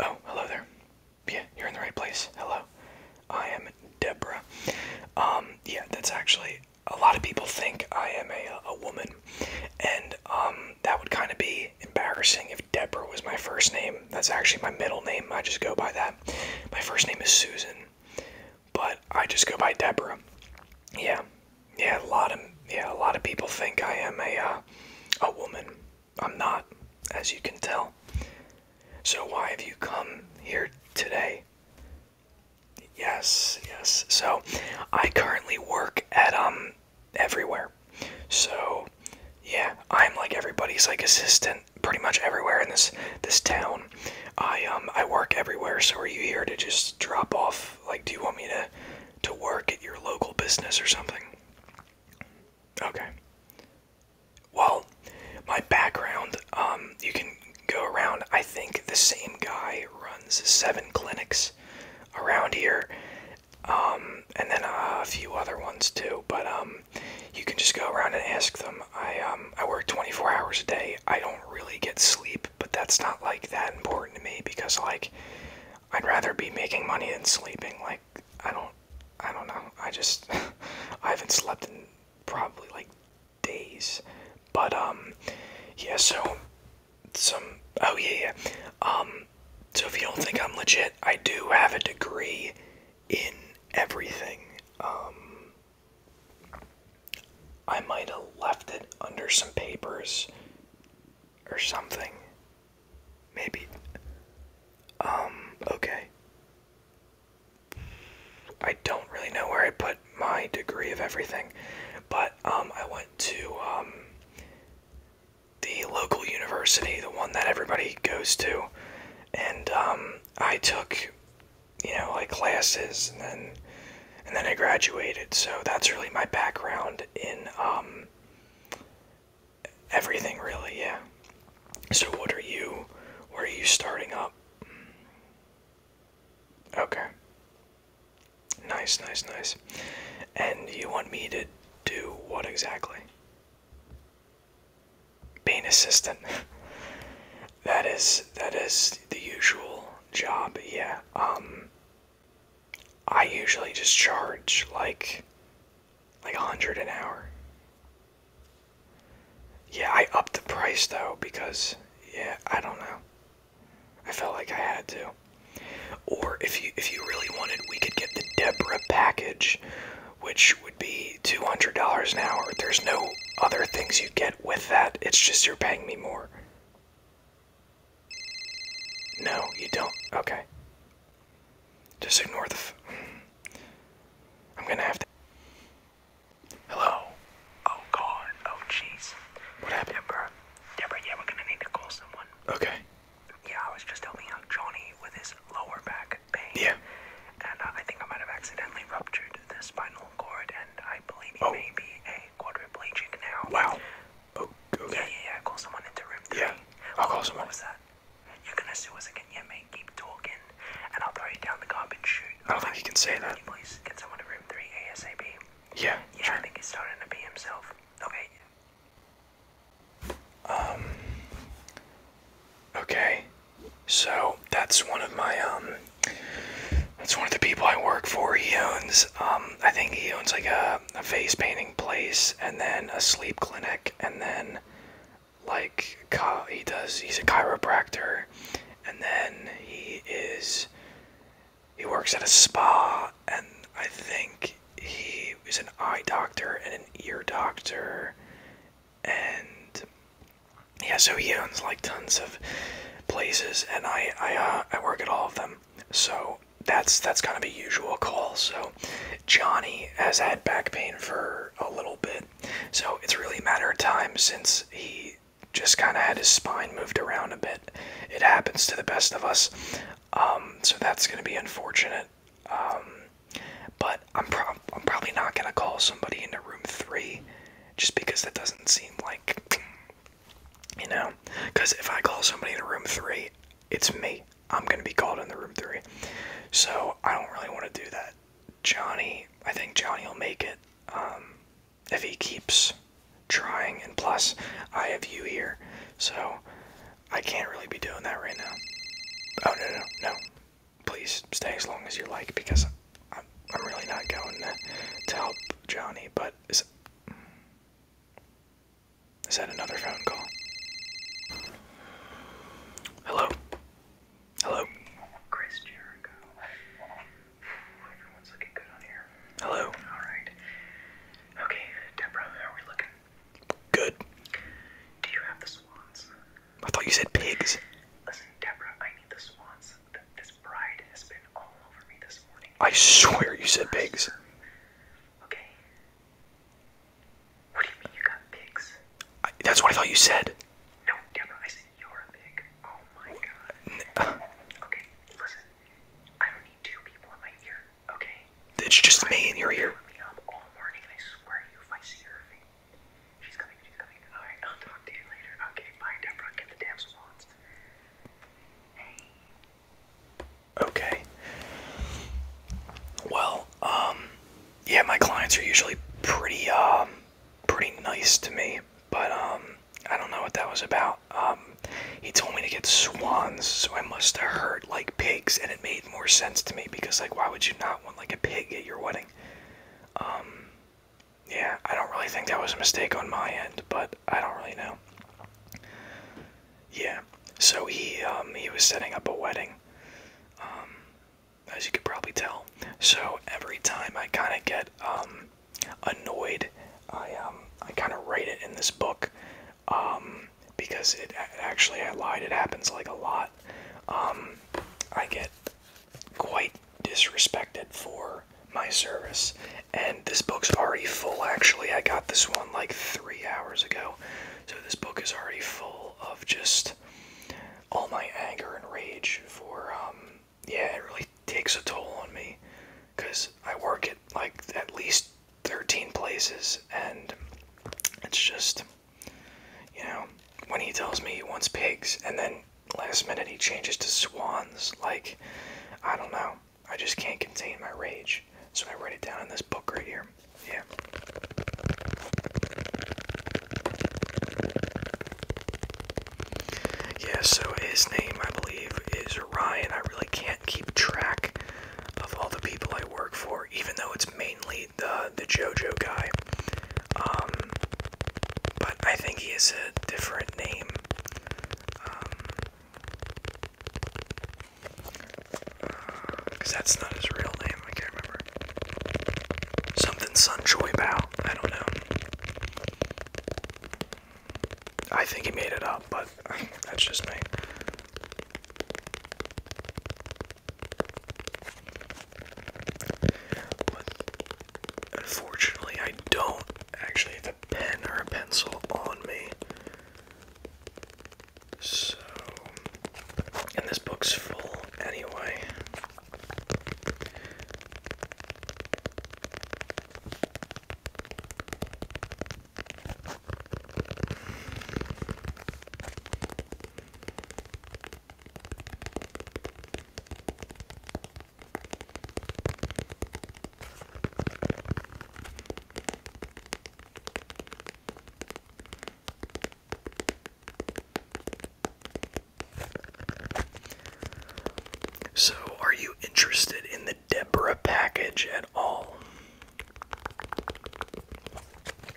Oh, hello there. Yeah, you're in the right place. Hello. I am Deborah. Um, yeah, that's actually a lot of people think I am a a woman, and um, that would kind of be embarrassing if Deborah was my first name. That's actually my middle name. I just go by that. My first name is Susan but I just go by Deborah. Yeah, yeah, a lot of yeah, a lot of people think I am a uh, a woman. I'm not, as you can tell. So why have you come here today? Yes, yes. So I currently work at um everywhere. So yeah, I'm like everybody's like assistant pretty much everywhere in this this town. I um I work everywhere, so are you here to just drop off? Like, do you want me to to work at your local business or something? Okay. Well, my background, um, you can go around. I think the same guy runs seven clinics around here, um, and then a few other ones too. But um, you can just go around and ask them. I um, I work 24 hours a day I don't really get sleep, but that's not like that important to me because like I'd rather be making money than sleeping. Like I don't I don't know. I just I haven't slept in probably like days. But um yeah, so some oh yeah, yeah. Um so if you don't think I'm legit, I do have a degree in everything. Um I might have left it under some papers or something. Maybe. Um, okay. I don't really know where I put my degree of everything, but um, I went to um, the local university, the one that everybody goes to, and I took you know, like classes, and then and then I graduated. So that's really my background in um, everything, really. Yeah. So what are you? Where are you starting up? Okay. Nice, nice, nice. And you want me to do what exactly? Be an assistant. That is that is the usual job. Yeah. Um, I usually just charge like like a hundred an hour. Yeah, I upped the price though because yeah, I don't know. I felt like I had to. Or if you if you really wanted, we could get the Deborah package, which would be two hundred dollars an hour. There's no other things you get with that. It's just you're paying me more. No, you don't. Okay. Just ignore the. i am I'm gonna have to. Hello. Oh God. Oh jeez. What happened, Deborah? Deborah, yeah, we're gonna need to call someone. Okay. Yeah, I was just helping out Johnny with his lower back pain. Yeah. And uh, I think I might have accidentally ruptured the spinal oh. Wow. Oh, okay. Yeah, yeah, yeah. Call someone into room three. Yeah. I'll call someone. What was that? You're gonna sue us again, yeah, mate. Keep talking, and I'll throw you down the garbage chute. I don't think you can say that. Can you please get someone to room three ASAP. Yeah. Yeah, I think he's starting to be himself. Okay. Um. Okay. So that's one of my um, that's one of the people I work for. He owns um, I think he owns like a, a face painting place and then a sleep clinic and then like he does he's a chiropractor and then he is he works at a spa and I think he is an eye doctor and an ear doctor and yeah, so he owns like tons of places, and I I uh, I work at all of them. So that's that's kind of a usual call. So Johnny has had back pain for a little bit, so it's really a matter of time since he just kind of had his spine moved around a bit. It happens to the best of us. Um, so that's gonna be unfortunate. Um, but I'm, prob I'm probably not gonna call somebody into room three just because that doesn't seem like you know because if i call somebody in room three it's me i'm gonna be called in the room three so i don't really want to do that johnny i think johnny will make it um, if he keeps trying and plus i have you here so i can't really be doing that right now oh no no no please stay as long as you like because I'm, really not going to, to help Johnny, but is, is that another phone call? Hello? Hello? Chris Jericho. Everyone's looking good on here. Hello? Alright. Okay, Deborah, how are we looking? Good. Do you have the swans? I thought you said pigs. Listen, Deborah, I need the swans. I swear you said pigs. Okay. What do you mean you got pigs? that's what I thought you said. No, Deborah, I said you're a pig. Oh my god. okay, listen. I don't need two people in my ear, okay? It's just me in your ear. She's coming, she's coming. Alright, I'll talk to you later. Okay, bye, Deborah. Get the damn swans. Hey. Okay. Well, um, yeah, my clients are usually pretty, um, pretty nice to me, but, um, I don't know what that was about. Um, he told me to get swans, so I must have heard, like, pigs, and it made more sense to me because, like, why would you not want, like, a pig at your wedding? Um, yeah, I don't really think that was a mistake on my end, but I don't really know. Yeah, so he um, he was setting up a wedding, um, as you could probably tell. So every time I kind of get um, annoyed, I I kind of write it in this book, because it actually I lied. It happens like a lot. I get quite disrespected for my service. And this book's already full, actually. I got this one like three hours ago. So this book is already full of just all my anger and rage for, um, yeah, it really takes a toll on me. Because I work at like at least 13 places, and it's just, you know, when he tells me he wants pigs, and then last minute he changes to swans. Like, I don't know. I just can't contain my rage. So I write it down in this book right here. Yeah. Yeah, so his name, I believe, is Ryan. I really can't keep track of all the people I work for, even though it's mainly the the JoJo guy. Um, but I think he is a different name. because um, uh, that's not his real name, I can't remember. Something Sun Choi Bao, I don't know. I think he made it up, but that's just me. Unfortunately, I don't actually have a pen or a pencil on me. So, and this book's full anyway. So, are you interested in the Deborah package at all?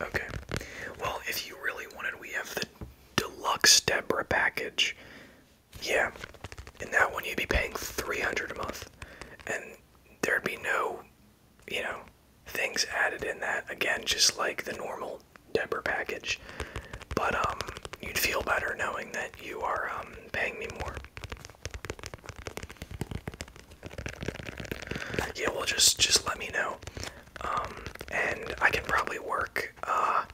Okay. Well, if you really wanted, we have the deluxe Deborah package. Yeah, in that one you'd be paying 300 a month, and there'd be no, you know, things added in that. Again, just like the normal Deborah package, but um, you'd feel better knowing that you are um, paying me more. Yeah, well, just just let me know, um, and I can probably work work. Uh,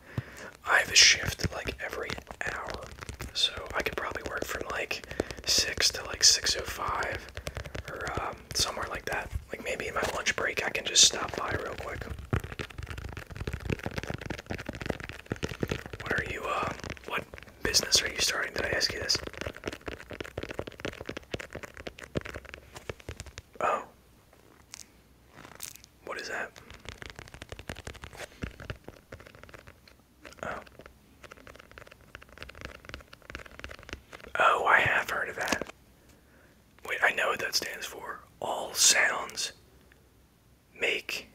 I have a shift like every hour, so I could probably work from like six to like six o oh five, or um, somewhere like that. Like maybe in my lunch break, I can just stop by real quick. What are you? Uh, what business are you starting? Did I ask you this? Oh. What is that? Oh. Oh, I have heard of that. Wait, I know what that stands for. All sounds make.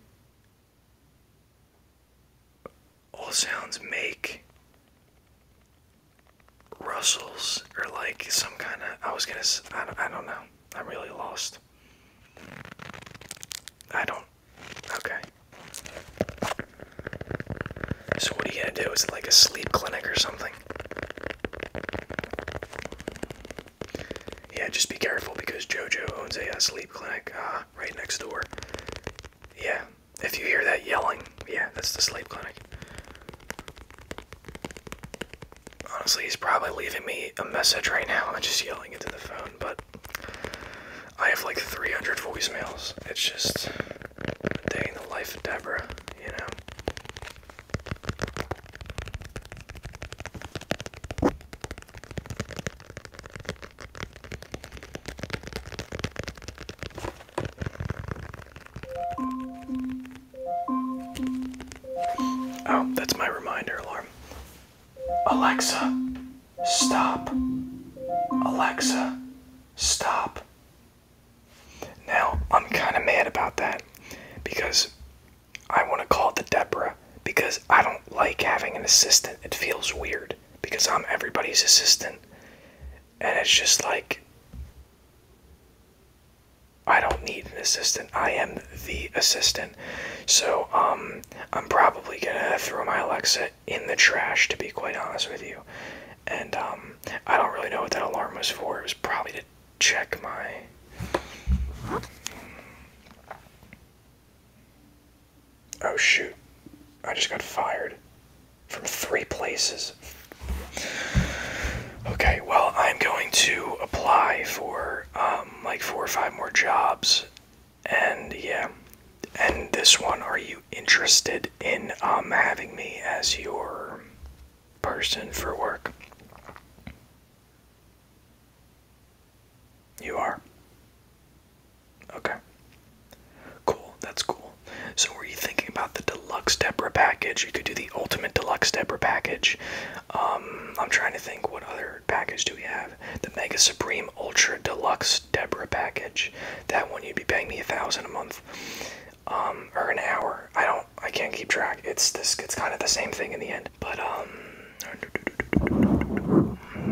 All sounds make rustles or like some kind of. I was gonna. I don't, I don't know. I'm really lost. I don't. Okay. So what are you gonna do? Is it like a sleep clinic or something? Yeah, just be careful because JoJo owns a sleep clinic uh, right next door. Yeah, if you hear that yelling, yeah, that's the sleep clinic honestly, he's probably leaving me a message right now I'm just yelling into the phone, but I have like 300 voicemails. It's just a day in the life of Deborah, you know? Oh, that's my reminder alarm. Alexa, stop. Alexa, stop. Now, I'm kind of mad about that because I want to call the Debra because I don't like having an assistant. It feels weird because I'm everybody's assistant. And it's just like, I don't need an assistant. I am the assistant. So, um, I'm probably gonna throw my Alexa in the trash, to be quite honest with you. And, um, I don't really know what that alarm was for. It was probably to check my. Oh, shoot. I just got fired from three places. Okay, well, I'm going to apply for, um, um, like four or five more jobs, and yeah. And this one, are you interested in um, having me as your person for work? You are? Okay. Cool, that's cool. So, were you thinking about the deluxe Debra package? You could do the ultimate deluxe Debra package, um, I'm trying to think what other package do we have? The Mega Supreme Ultra Deluxe Deborah package. That one you'd be paying me a thousand a month. Um, or an hour. I don't I can't keep track. It's this it's kind of the same thing in the end. But um,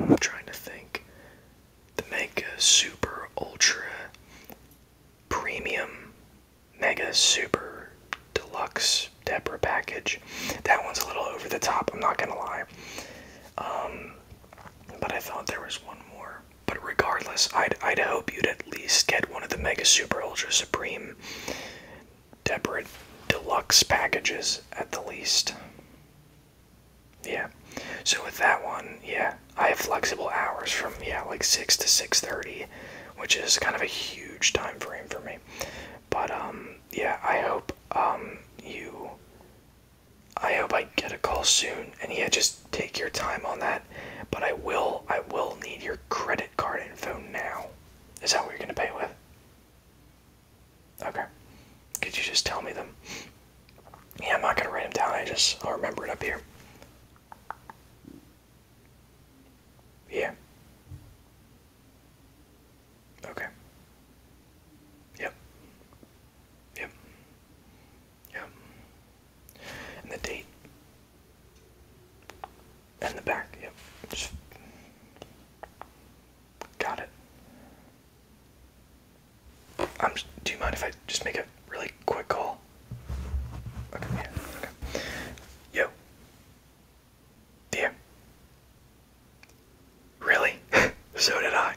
I'm trying to think. The Mega Super Ultra Premium Mega Super Deluxe Deborah package. That one's a little over the top, I'm not gonna lie. Um, but I thought there was one more. But regardless, I'd, I'd hope you'd at least get one of the Mega Super Ultra Supreme Deborah Deluxe packages at the least. Yeah. So with that one, yeah, I have flexible hours from yeah, like 6 to 6:30, which is kind of a huge time frame for me. But um, yeah, I hope um, you. I hope I get a call soon, and yeah, just take your time on that. But I will, I will need your credit card info now. Is that what you're gonna pay with? Okay. Could you just tell me them? Yeah, I'm not gonna write them down. I just I'll remember it up here. Yeah. Okay. Yep. Yep. Yep. And the date. And the back. Yep. got it. Do you mind if I just make a really quick call? Okay. Okay. Yo. Yeah. Really? so did I.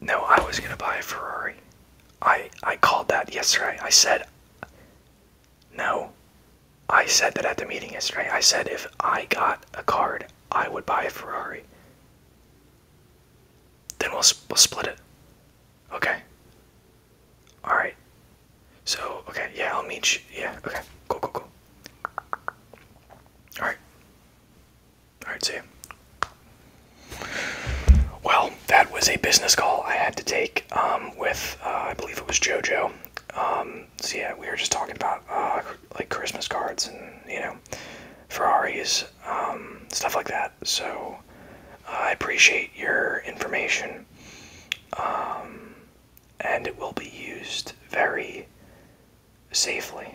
No, I was gonna buy a Ferrari. I I called that yesterday. I said no. I said that at the meeting yesterday. I said if I got a card, I would buy a Ferrari. Then we'll, we'll split it. Okay. All right. So okay, yeah, I'll meet you. Yeah, okay, go, go, go. All right. All right, see Well, that was a business call I had to take um, with, uh, I believe it was JoJo. Um, so yeah, we were just talking about uh, like Christmas cards and you know Ferraris, um, stuff like that. So uh, I appreciate your information. Um, and it will be used very safely.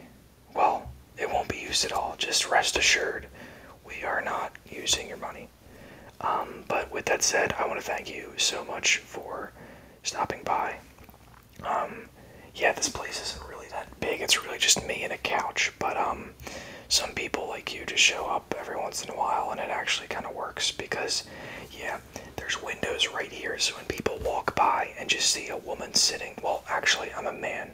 Well, it won't be used at all. Just rest assured, we are not using your money. Um, but with that said, I want to thank you so much for stopping by. Um, yeah, this place isn't really that big. It's really just me and a couch. But some people like you just show up every once in a while and it actually kind of works because yeah there's windows right here so when people walk by and just see a woman sitting well actually i'm a man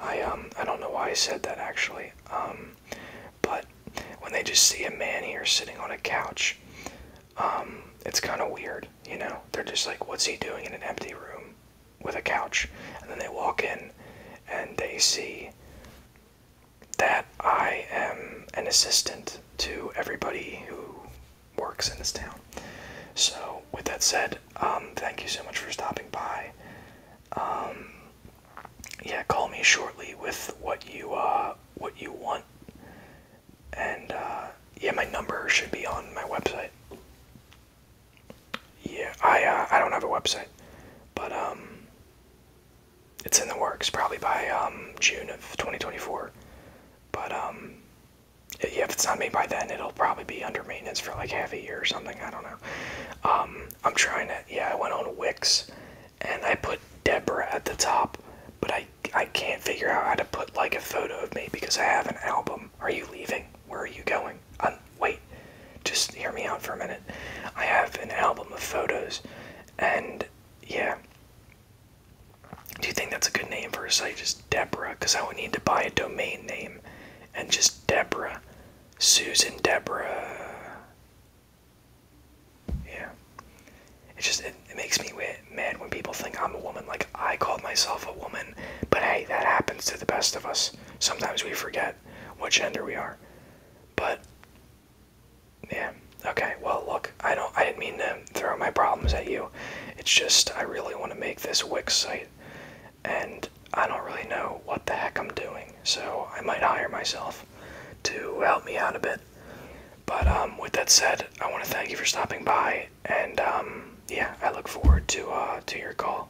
i um i don't know why i said that actually um but when they just see a man here sitting on a couch um it's kind of weird you know they're just like what's he doing in an empty room with a couch and then they walk in and they see that I am an assistant to everybody who works in this town. So, with that said, um, thank you so much for stopping by. Um, yeah, call me shortly with what you uh, what you want, and uh, yeah, my number should be on my website. Yeah, I uh, I don't have a website, but um, it's in the works probably by um, June of 2024. But yeah, um, if it's not made by then, it'll probably be under maintenance for like half a year or something. I don't know. Um, I'm trying to. Yeah, I went on Wix, and I put Deborah at the top, but I I can't figure out how to put like a photo of me because I have an album. Are you leaving? Where are you going? Um, wait, just hear me out for a minute. I have an album of photos and yeah. Do you think that's a good name for a site? Just Deborah? Because I would need to buy a domain name. And just Deborah. Susan Deborah. Yeah. It just it, makes me mad when people think I'm a woman. Like, I called myself a woman. But hey, that happens to the best of us. Sometimes we forget what gender we are. But yeah. Okay. Well, look, I don't. I didn't mean to throw my problems at you. It's just I really want to make this Wix site, and I don't really know what the heck I'm doing. So I might hire myself to help me out a bit. But um, with that said, I want to thank you for stopping by, and um, yeah, I look forward to uh, to your call.